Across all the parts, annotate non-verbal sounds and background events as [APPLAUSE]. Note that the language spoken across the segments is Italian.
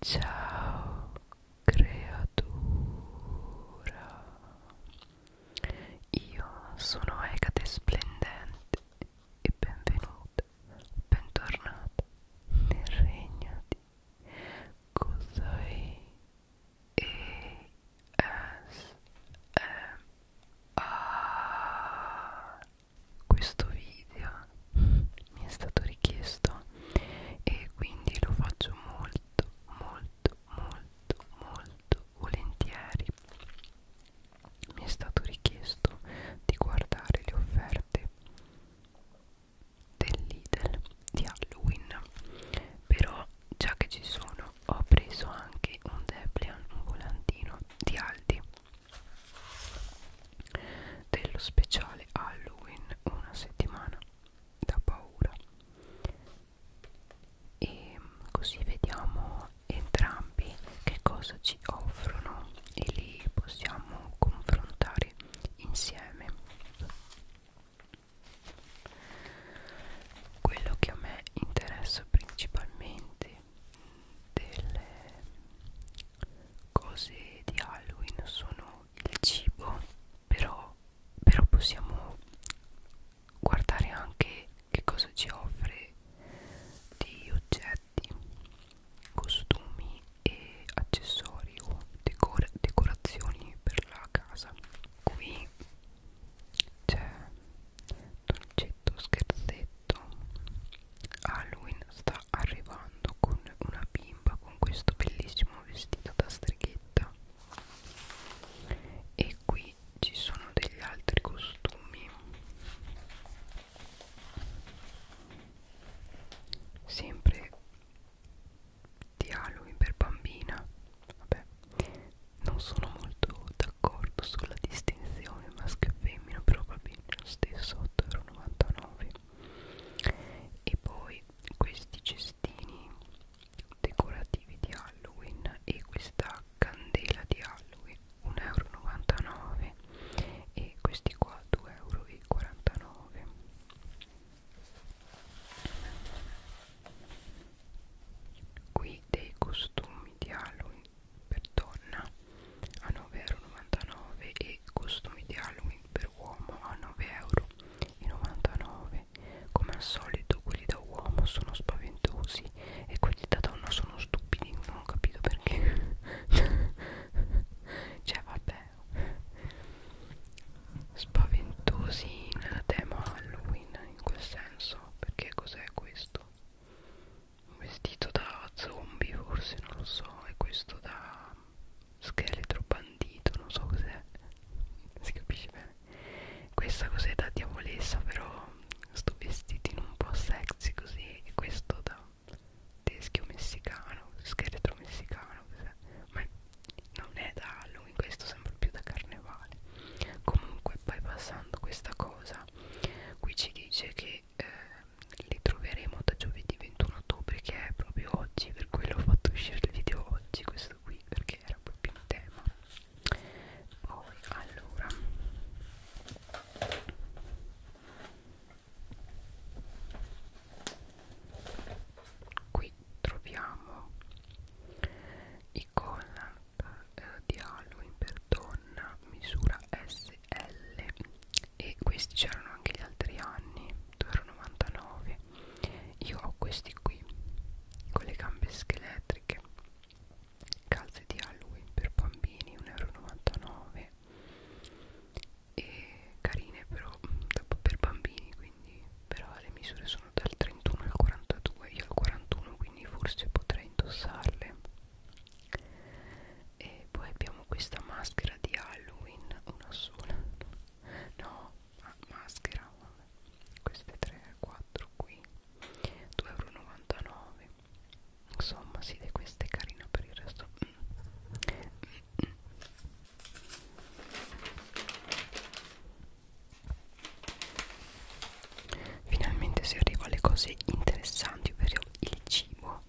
Ciao creatura Io sono Ecate Splendente e benvenuta, bentornata nel regno di Cosai e S M A questo video ma mi è stato richiesto e quindi lo faccio molto molto molto molto volentieri mi è stato richiesto di guardare le offerte del Lidl di Halloween però già che ci sono ho preso anche un Deplian, un volantino di Aldi dello speciale Halloween una settimana da paura e così vediamo entrambi che cosa ci offrono e li possiamo confrontare insieme quello che a me interessa principalmente delle, cose di Halloween sono il cibo però, però possiamo guardare anche che cosa ci offre di oggetti costumi e accessori o decor decorazioni per la casa qui c'è dolcetto scherzetto Halloween sta arrivando con una pina bimba con questo bellissimo vestito da streghetta e qui ci sono degli altri costumi sempre dialoghi per bambina vabbè non sono molto d'accordo sulla distinzione maschio e femmina però va bene lo stesso 8,99 e poi questi cestini decorativi di Halloween e questa candela di Halloween 1,99 euro e questi qua 2,49 euro qui dei costumi di Halloween per donna a 9,99 euro e i costumi di Halloween per uomo a 9,99€ come al solito quelli da uomo sono spaventosi e quelli da donna sono stupidi non ho capito perché [LAUGHS] cioè vabbè spaventosi nel tema Halloween in quel senso perché cos'è questo? un vestito da zombie forse non lo so e questo da scheletro bandito non so cos'è si capisce bene questa cos'è da diavolessa però sto vestitino un po' sexy così e questo da teschio messicano scheletro messicano ma non è da Halloween questo sembra più da carnevale comunque bypassando questa cosa qui ci dice che eh, li troveremo da giovedì 21 ottobre che è proprio oggi per quello ho fatto uscire il video oggi questo qui perché era proprio in tema poi allora qui troviamo i collant eh, di Halloween per donna misura SL e questi c'erano anche gli altri anni 2,99 io ho questi qui con le gambe scheletriche calze di Halloween per bambini 1,99 e carine però per bambini quindi però le misure sono dal 31 al 42 io al 41 quindi forse potrei indossarle e poi abbiamo questa maschera di Halloween una sola no ma ah, maschera queste 3 4 qui 2,99 euro insomma si sì, questa è carina per il resto mm. Mm. Mm. Finalmente si arriva alle cose interessanti, ovvero il cibo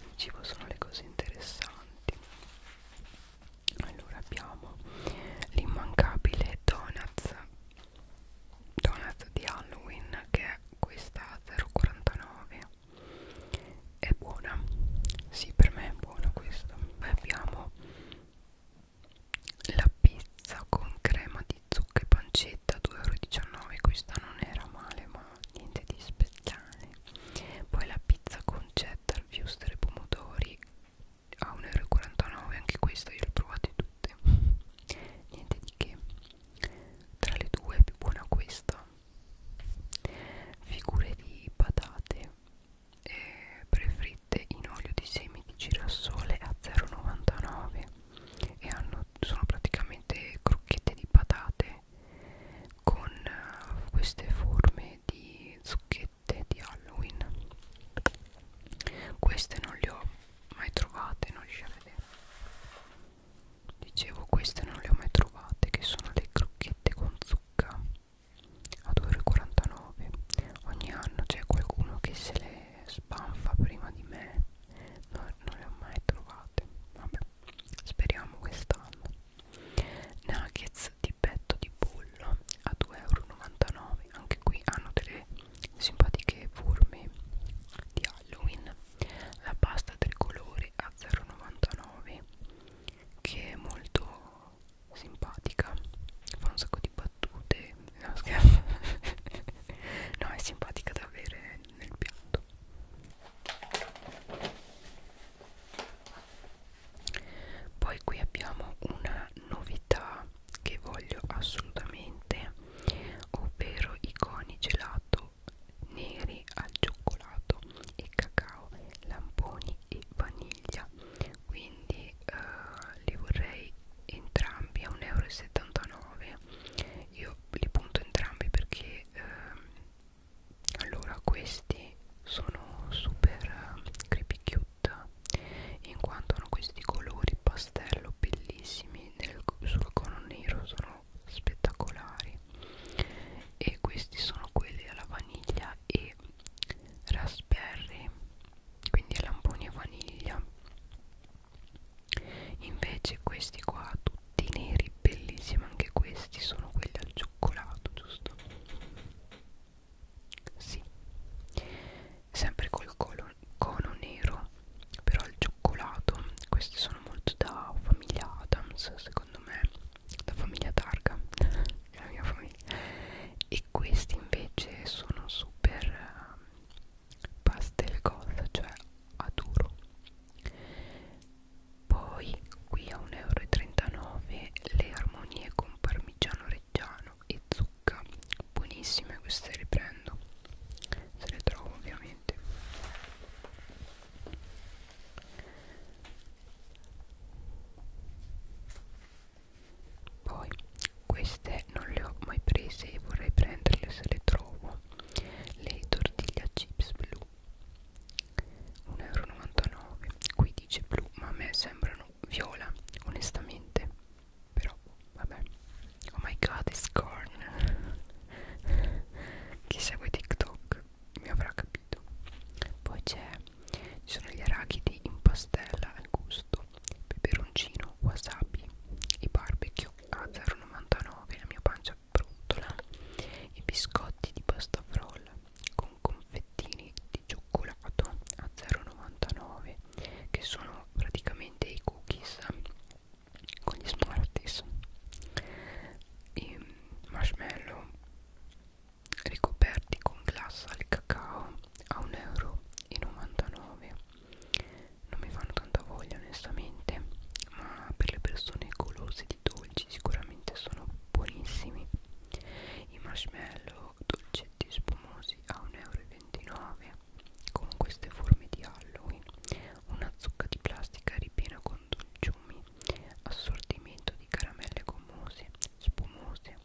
il cibo sono le cose interessanti allora abbiamo l'immancabile donuts donuts di Halloween che è questa 0,49 è buona sì per me è buona questa poi abbiamo la pizza con crema di zucca e pancetta 2,19 euro questa non era male ma niente di speciale poi la pizza con cheddar, wuster e pomodori a 1,49€ anche questa io le ho provate tutte niente di che tra le due è più buona questa figure di patate eh, prefritte in olio di semi di girasole a 0,99 e hanno, sono praticamente crocchette di patate con uh, queste forme di zucchette di Halloween queste non le ho mai trovate non riesci a vedere dicevo queste non le ho mai trovate che sono le crocchette con zucca a 2,49 ogni anno c'è qualcuno che se le spanfa prima di me no, non le ho mai trovate vabbè speriamo quest'anno nuggets di petto di pollo a 2,99 euro anche qui hanno delle simpatiche forme di Halloween la pasta tricolore a 0,99 che è molto simpatica fa un sacco di battute no scherzo [LAUGHS] no è simpatica da avere nel piatto poi qui abbiamo una novità che voglio assolutamente ovvero i coni gelato neri al cioccolato e cacao lamponi e vaniglia quindi eh, li vorrei entrambi a 1,79 euro io li punto entrambi perché ehm, allora questi sono super eh, creepy cute in quanto hanno questi colori pastello bellissimi nel, sul cono nero sono spettacolari e questi sono quelli alla vaniglia e raspberry quindi lamponi e vaniglia invece questi qua tutti di neri bellissimi anche questi sono quelli al cioccolato giusto sì sempre col colo, cono nero però al cioccolato questi sono molto da famiglia Adams secondo me la famiglia Targa [LAUGHS] la mia famiglia e questi invece sono super ehm, pastel cosa cioè a duro poi qui a 1,39 euro le armonie con parmigiano reggiano e zucca Buonissime queste le prendo Se le trovo ovviamente Poi queste non le ho mai prese e vorrei prenderle se le trovo Le tortiglia chips blu 1,99€ qui dice blu ma a me sembrano viola onestamente però vabbè oh my god it's corn [LAUGHS] chi segue tiktok mi avrà capito poi c'è ci sono gli arachidi in pastella al gusto peperoncino wasabi i barbecue a 0,99 la mia pancia brontola i biscotti di pasta frolla con con confettini di cioccolato a 0,99 che sono praticamente i cookies con gli smarties i marshmallow ricoperti con glassa al cacao a 1,99 euro non mi fanno tanta voglia onestamente ma per le persone golose di dolci sicuramente sono buonissimi i marshmallow dolcetti spumosi a 1,29 euro con queste forme di Halloween una zucca di plastica ripiena con dolciumi assortimento di caramelle gommose spumose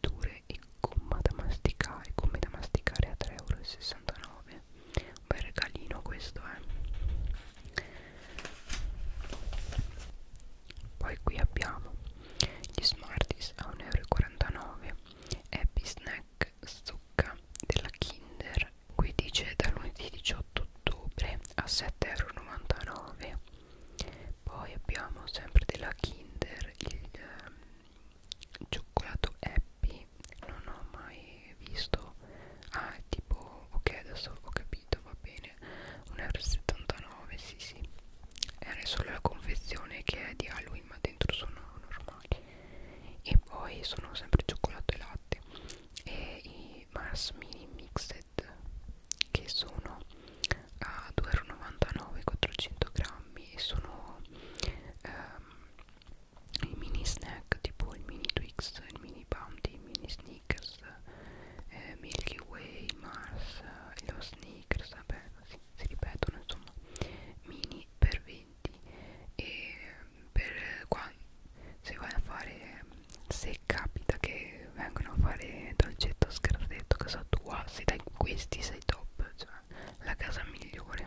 dure e gomma da masticare gomme da masticare a 3,69 euro un bel regalino questo eh poi qui abbiamo gli Smarties a 1,49€ Happy Snack zucca della Kinder Qui dice da lunedì 18 ottobre a 7,99€ Poi abbiamo sempre della Kinder il um, cioccolato Happy Non ho mai visto Ah tipo ok adesso ho capito va bene simile 1,79 euro sì sì era solo la confezione che è di Halloween ma dentro sono normali e poi sono sempre cioccolato e latte e i Mars Mini Mixed che sono a 2,99 400 grammi e sono um, i mini snack tipo il mini Twix, il mini Bounty, il mini Snickers Snickers, eh, Milky Way, Mars, eh, lo Snickers, vabbè, si, si ripetono insomma, mini per 20 e mm, per eh, qua se vai a fare, mm, se capita che vengono a fare dolcetto scarletto casa tua, ah, se dai questi sei top, cioè la casa migliore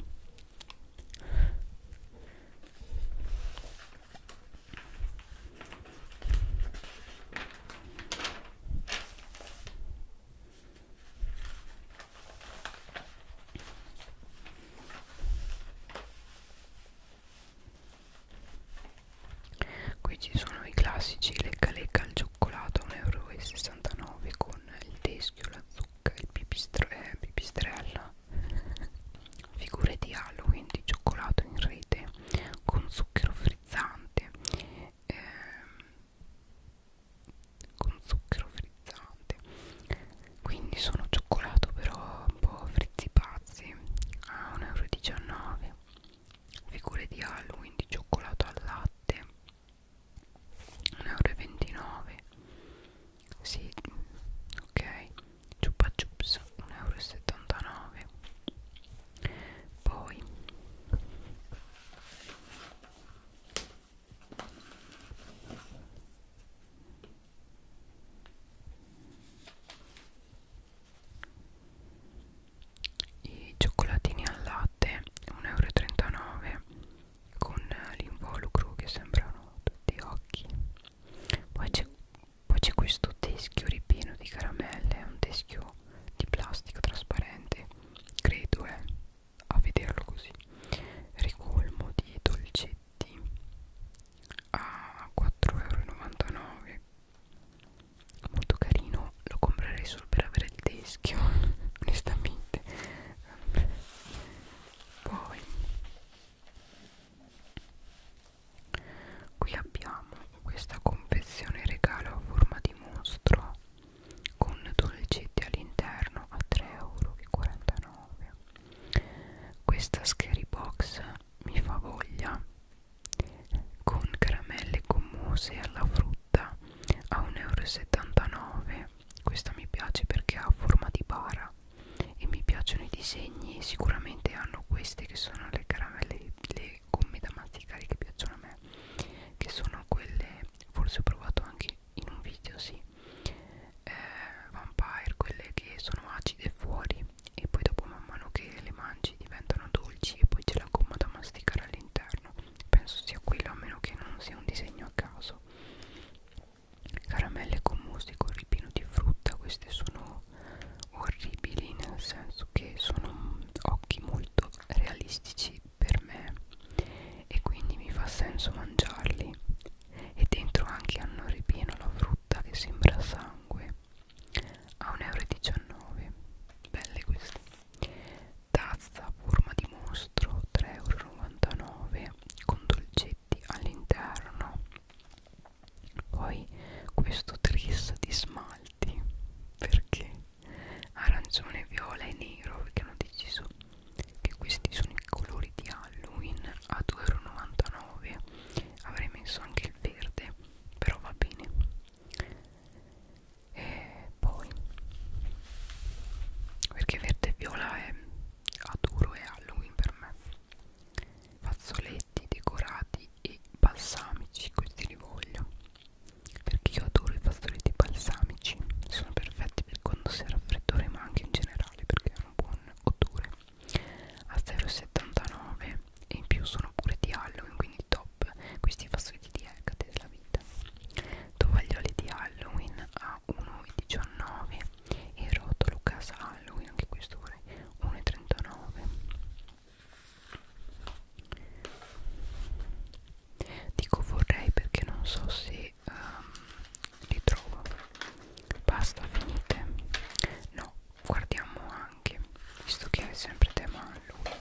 Qui ci sono i classici lecca lecca al cioccolato 1,69 euro con il teschio, la zucca, il pipistre, eh, pipistrella, figure di Halloween di cioccolato in rete con zucchero frizzante eh, con zucchero frizzante quindi sono cioccolato però un po' frizzi pazzi a 1,19 euro figure di Halloween di cioccolato al latte 1,29 euro sì ok ciupa chups 1,79 euro poi i cioccolatini al latte 1,39 euro con l'involucro che sembrano tutti occhi poi c'è poi c'è questo teschio ripieno di caramelle è un teschio di plastica trasparente credo eh, a vederlo così ricolmo di dolcetti a 4,99€ molto carino lo comprerei solo per avere il teschio [LAUGHS] onestamente poi qui abbiamo questa confezione regalo a forma di mostro con dolcetti all'interno a 3,49 euro questa scary box mi fa voglia con caramelle gommose alla frutta a 1,79 euro questa mi piace perché ha forma di bara e mi piacciono i disegni sicuramente hanno queste che sono le caramelle le le gomme da masticare che piacciono a me che sono quelle forse ho provato anche in un video sì eh, vampire quelle che sono acide fuori e poi dopo man mano che le mangi diventano dolci e poi c'è la gomma da masticare all'interno penso sia quello a meno che non sia un disegno a caso caramelle con musico ripieno di frutta queste sono sono orribili nel senso che sono occhi molto realistici per me e quindi mi fa senso mangiarli e dentro anche hanno ripieno la frutta che sembra sangue a 1,19 euro belle queste tazza forma di mostro 3,99 euro con dolcetti all'interno poi questo tris di smalti perché arancione, viola e nero perché hanno deciso che questi sono i colori di Halloween a 2,99€ avrei messo anche il verde però va bene e poi perché verde e viola è aduro e Halloween per me fazzoletti decorati pastorelli e balsamici questi li voglio perché io adoro i pastorelli balsamici sono perfetti per quando si è raffreddore ma anche in generale perché hanno un buon odore a 0,79 e in più sono pure di Halloween quindi top questi fastidio di Hecate della vita tovaglioli di Halloween a 1,19 e rotolo casa Halloween anche questo vorrei 1,39 dico vorrei perché non so se um, ehm, li trovo basta finite no guardiamo anche visto che è sempre tema allora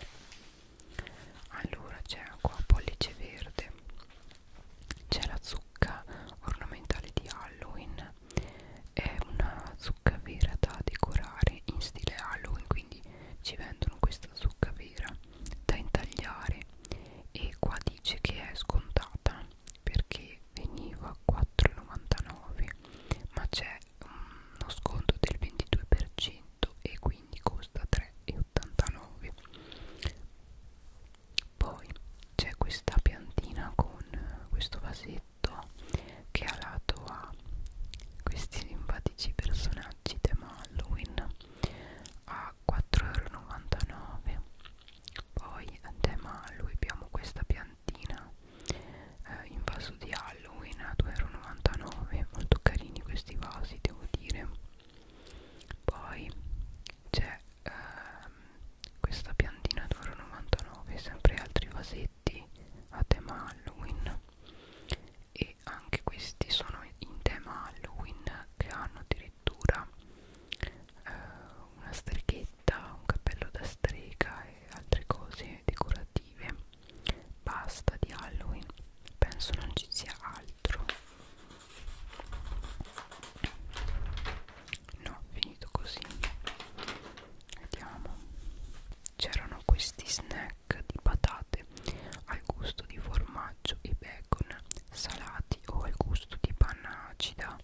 allora c'è qua pollice verde c'è la zucca ornamentale di Halloween è una zucca vera da decorare in stile Halloween quindi ci vendono questa zucca vera da intagliare e qua dice che è scontata perché veniva a 4,99 ma c'è mm, uno sconto del 22% e quindi costa 3,89 poi c'è questa piantina con questo vasetto detto che ha lato a questi simpatici personaggi tema Halloween a 4,99€ poi a tema Halloween abbiamo questa piantina eh, in vaso di Halloween a 2,99€ molto carini questi vasi devo dire poi c'è ehm, questa piantina a 2,99€ sempre altri vasetti pacchetti a tema Halloween e anche questi sono in tema Halloween che hanno addirittura eh, una strichetta, un cappello da strega e altre cose decorative basta di Halloween penso non ci sia altro no finito così vediamo c'erano questi snack snack di patate al gusto di formaggio e bacon salati o al gusto di panna acida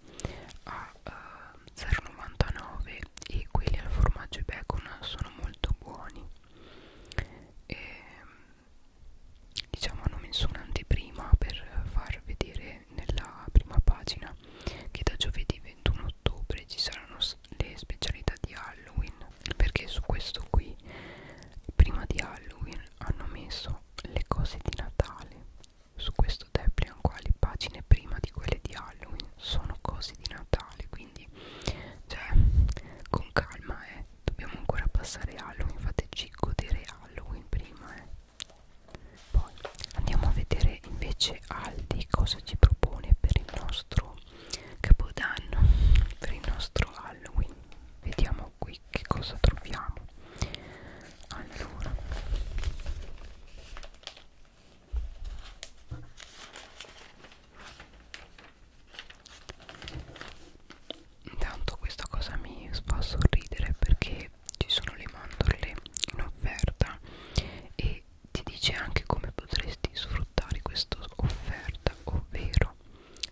a eh, 0,99 e quelli al formaggio e bacon sono molto buoni e, ehm, diciamo hanno messo un'anteprima per far vedere nella prima pagina che da giovedì 21 ottobre ci saranno le specialità di Halloween perché su questo qui prima di Halloween hanno messo le cose di Natale su questo Deplian qua le pagine prima di quelle di Halloween sono cose di Natale quindi cioè con calma eh dobbiamo ancora passare Halloween fateci godere Halloween prima eh poi andiamo a vedere invece Aldi cosa ci propone per il nostro capodanno per il nostro Halloween vediamo qui che cosa troviamo allora intanto questa cosa mi fa sorridere perché ci sono le mandorle in offerta e ti dice anche come potresti sfruttare questa offerta, ovvero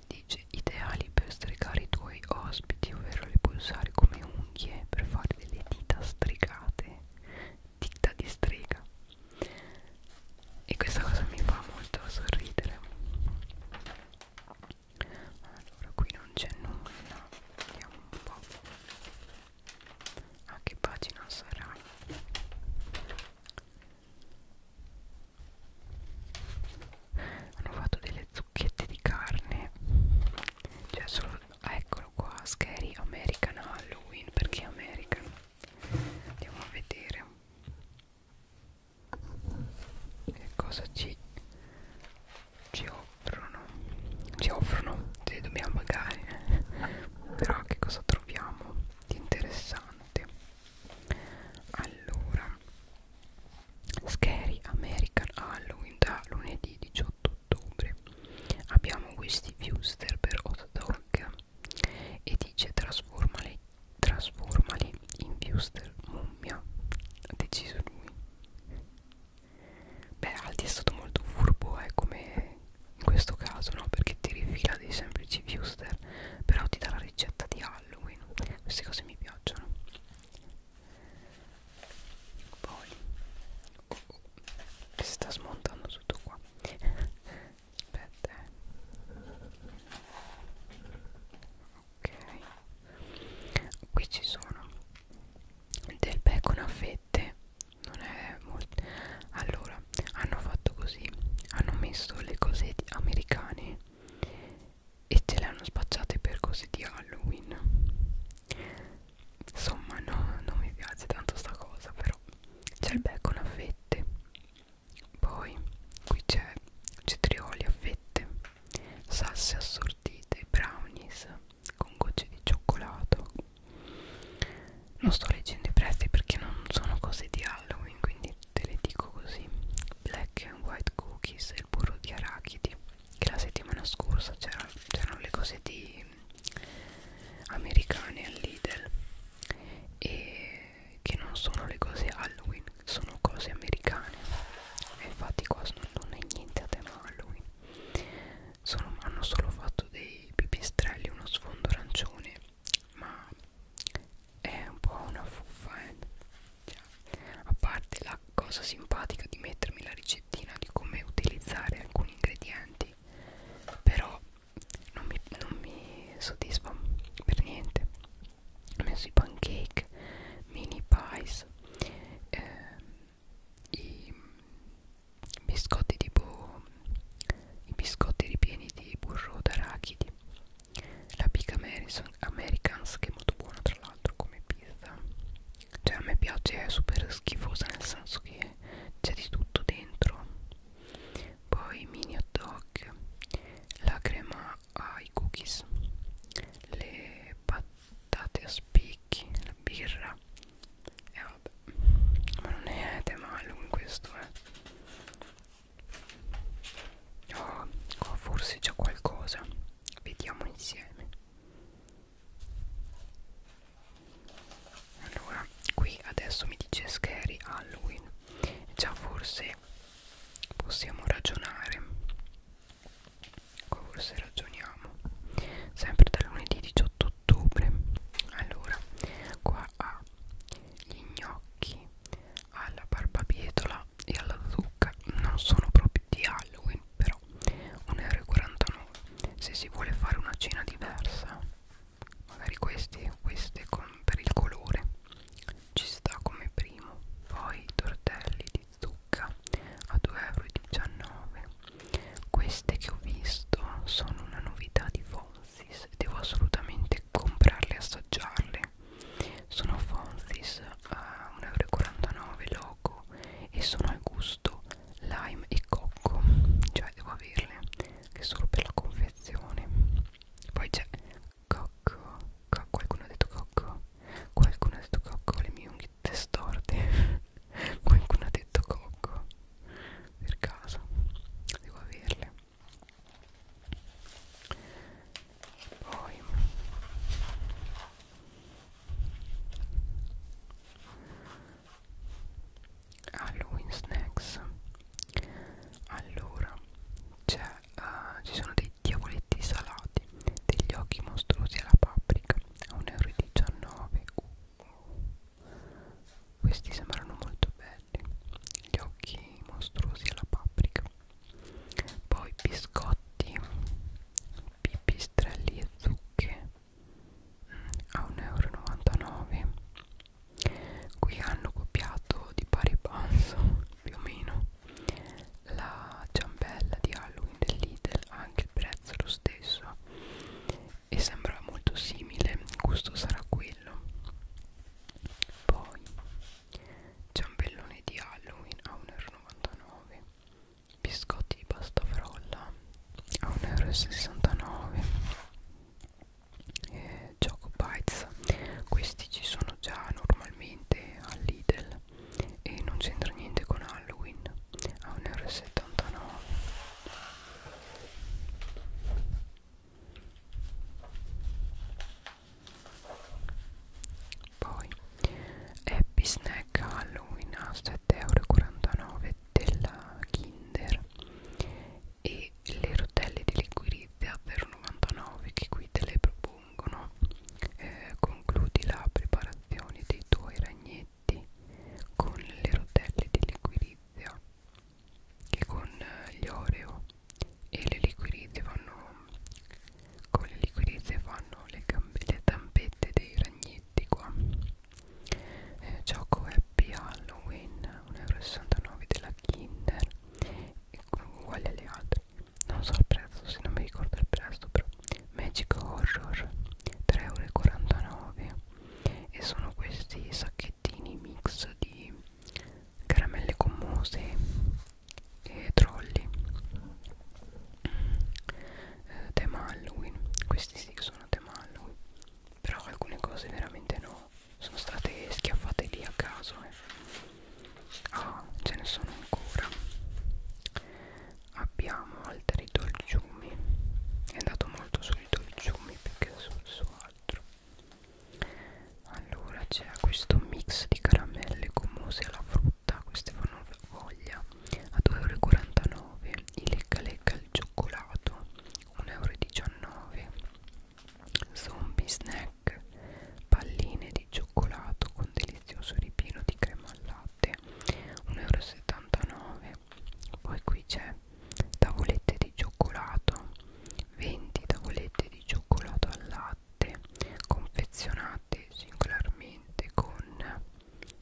dice ideali per stregare i tuoi ospiti, ovvero le pulsare come unghie per fare delle dita stregate, dita di strega. E questa cosa mi fa molto sorridere. Allora, qui non c'è nulla, vediamo un po' a che pagina sarà hanno fatto delle zucchette di carne cioè solo ah, eccolo qua scary american halloween perché american andiamo a vedere che cosa ci ci offrono ci offrono se dobbiamo pagare però che cosa troviamo di interessante allora Scary American Halloween da lunedì 18 ottobre abbiamo questi Fuster per hot dog e dice trasformali, trasformali in Fuster mummia ha deciso lui beh Aldi è stato molto furbo eh, come in questo caso no perché ti rifila dei semplici viewster però ti dà la ricetta di Halloween queste cose mi piacciono poi oh, oh, si sta smontando tutto qua aspetta eh. ok qui ci sono del bacon a fette non è molto allora hanno fatto così hanno messo le cose americane e ce le hanno spacciate per cose di Halloween insomma no, non mi piace tanto sta cosa però c'è il bacon a fette poi qui c'è cetrioli a fette salse assortite brownies con gocce di cioccolato non sto leggendo i prezzi perché non sono cose di Halloween quindi te le dico così black and white cookies e il burro di arachidi che la settimana scorsa c'erano le cose di americane al Lidl e che non sono le cose Halloween sono cose americane e infatti qua non è niente a tema Halloween sono, hanno solo fatto dei pipistrelli uno sfondo arancione ma è un po' una fuffa eh? cioè, a parte la cosa simpatica di mettermi la ricettina di come utilizzare alcuni ingredienti però non mi, non mi soddisfa per niente ho messo i pancake mini pies eh, i biscotti tipo i biscotti ripieni di burro d'arachidi la pica Americans che è molto buona tra l'altro come pizza cioè a me piace è super schifosa nel senso che c'è di tutto dentro poi mini hot dog la crema ai cookies le patate a spicchi la birra e eh, vabbè ma non è Temalum questo eh oh, qua forse c'è qualcosa vediamo insieme allora qui adesso mi dice scary Halloween già forse possiamo ragionare qua forse ragioniamo sempre da lunedì 18 ottobre allora qua ha gli gnocchi alla barbabietola e alla zucca non sono proprio di Halloween però 1,49€ se si vuole fare una cena diversa magari questi o queste con, per il colore ci sta come primo poi tortelli di zucca a 2,19€ queste che ho visto sono una novità di fondo Fonzis devo assolutamente comprarle e assaggiarle sono Fonzis a 1,49€ loco e sono al gusto lime e cocco cioè devo averle che solo per la confezione poi c'è cocco co qualcuno ha detto cocco qualcuno ha detto cocco le mie unghie storte [LAUGHS] qualcuno ha detto cocco per caso devo averle e poi Halloween snacks allora c'è uh, ci sono dei diavoletti salati degli occhi mostruosi alla paprika a 1,19 euro uh, uh. questi sembrano molto belli capelli, gli occhi mostruosi alla paprika, poi biscotti, pipistrelli e zucche mm, a 1,99 euro. Qui hanno copiato di pari passo più o meno la ciambella di Halloween del Lidl, anche il prezzo lo stesso e sembra molto simile, il gusto sarà quello poi ciambellone di Halloween a 1,99€, biscotti di pasta frolla a 1,69€, eh, Choco Bites, questi ci sono già normalmente al Lidl e non c'entra niente con Halloween a 1,79€ poi Happy Snack Halloween a 7,49€ della Kinder e le rotelle di liquirizia per 99 che qui te le propongono eh, concludi la preparazione dei tuoi ragnetti con le rotelle di liquirizia che con eh, gli oreo e le liquirizze vanno con le liquirizze fanno le, le tampette dei ragnetti qua eh, gioco happy halloween 1,69€ della kinder uguali alle altre non so il prezzo se non mi ricordo il prezzo però magic horror 3,49€ e sono questi sacchettini mix di caramelle gommose e trolli eh, tema Halloween questi sì sono tema Halloween però alcune cose veramente no sono state schiaffate lì a caso eh. ah ce ne sono ancora abbiamo altri dolciumi è andato molto sui dolciumi più che su, su altro allora c'è questo mix di caramelle gommose alla frutta queste fanno voglia a 2,49 euro il lecca lecca al cioccolato 1,19 euro zombie snack palline di cioccolato con delizioso ripieno di crema al latte 1,79 euro poi qui c'è 3 tavolette di cioccolato 20 tavolette di cioccolato al latte confezionate singolarmente con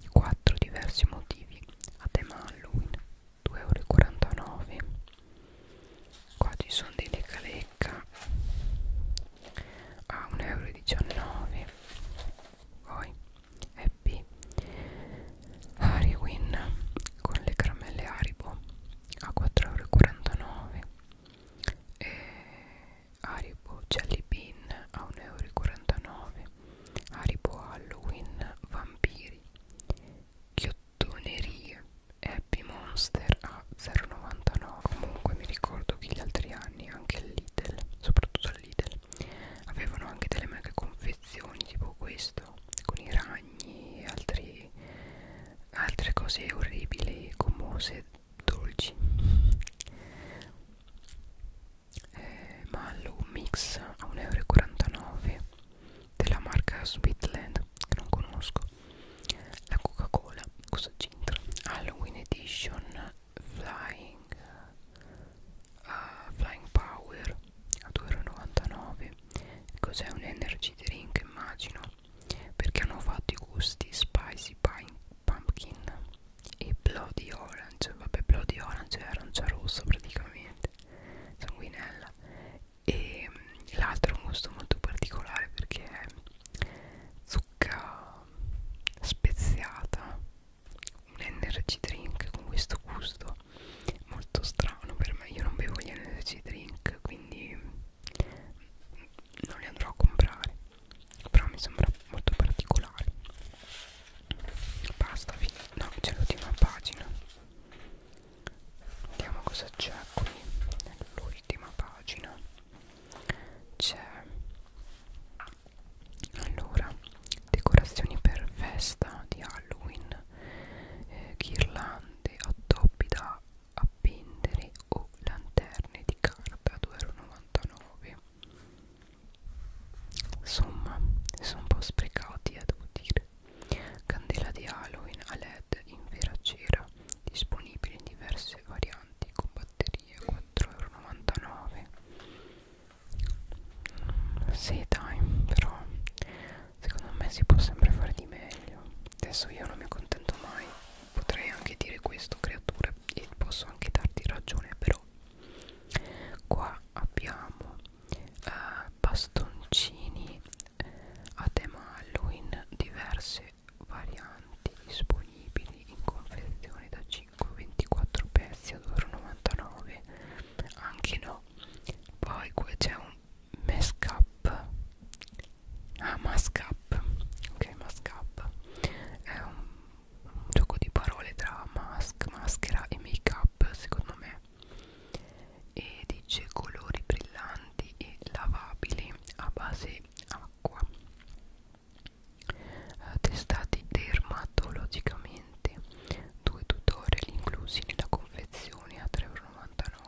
4 diversi motivi a tema Halloween 2,49 euro qua ci sono dei lecca lecca a 1,19 euro poi Happy Harry Win con le caramelle Haribo a 4,49€ e Haribo Jelly Bean a 1,49€ Haribo Halloween Vampiri Chiottonerie Happy Monster a 0,99 comunque mi ricordo che gli altri anni anche il Lidl soprattutto al Lidl avevano anche delle mega confezioni tipo questo con i ragni, altri, altre cose orribili, gommose, dolci. Eh, Mallow Mix a 1,49 euro della marca Sweetland che non conosco. La Coca-Cola, cosa c'entra? Halloween Edition Flying, uh, Flying Power a 2,99 euro Cos'è un energy drink immagino Perché hanno fatto i gusti spicy pine, pumpkin E bloody orange Vabbè bloody orange è arancia rossa praticamente Sanguinella E mm, l'altro è un gusto molto particolare perché è zucca speziata un energy drink con questo gusto molto strano per me io non bevo gli energy drink quindi non li andrò a comprare però mi sembra molto particolare basta no c'è l'ultima pagina vediamo cosa c'è qui nell'ultima pagina c'è allora decorazioni per festa di Halloween eh, ghirlande, addobbi da appendere o lanterne di carta 2,99 euro insomma sono un po' sprecati eh, devo dire candela di halloween a led in vera cera disponibile in diverse varianti con batterie 4,99 euro mm, sì dai però Secondo me si può sempre fare di meglio. Adesso io non mi accontento mai. Potrei anche dire questo, creatura, e posso anche darti ragione, però. Qua abbiamo eh, bastoncini eh, a tema Halloween, diverse varianti disponibili in confezione da 5 24 pezzi a 2,99 anche no poi qua c'è un Mascap Ah Mascap Ok Mascap È un, un gioco di parole tra mask, maschera e make up secondo me e dice colori brillanti e lavabili a base acqua eh, testati dermatologicamente due tutorial inclusi nella confezione a 3,99€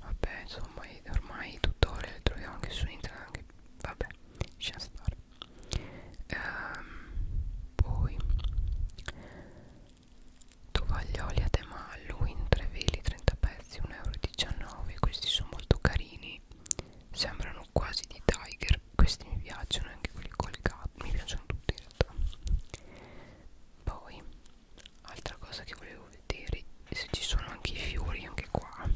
Vabbè, insomma, ormai tutorial li troviamo anche su internet. Anche, vabbè, lascia stare. Ehm, poi tovaglioli a tema Halloween, 3 veli, 30 pezzi, 1,19 euro. Questi sono molto carini. Sembrano quasi di Tiger. Questi mi piacciono, anche quelli collegati. Mi piacciono tutti in realtà. Poi altra cosa che volevo vedere è se ci sono anche i fiori anche qua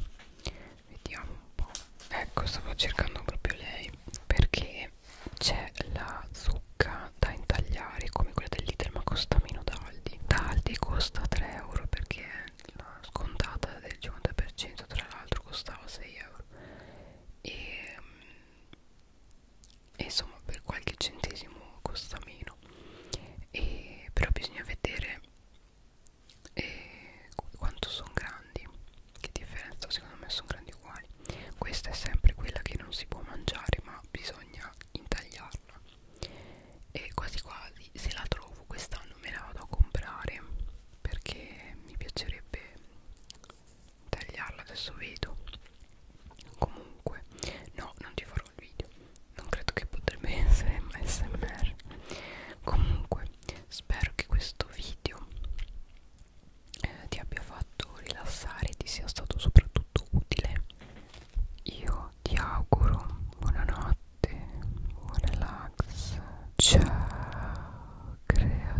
vediamo un po' ecco stavo cercando proprio lei perché c'è la zucca da intagliare come quella del Lidl ma costa meno da Aldi da Aldi costa 3 euro perché la scontata del 50% tra l'altro costava 6 euro e e insomma per qualche centesimo costa meno e, però bisogna vedere e, eh, quanto sono grandi che differenza secondo me sono grandi uguali questa è sempre quella che non si può mangiare ma bisogna intagliarla e quasi quasi se la trovo quest'anno me la vado a comprare perché mi piacerebbe tagliarla adesso vedo comunque no non ti farò il video non credo che potrebbe essere smr comunque spero che questo video eh, ti abbia fatto rilassare e ti sia stato soprattutto utile io ti auguro buonanotte buon relax ciao creatura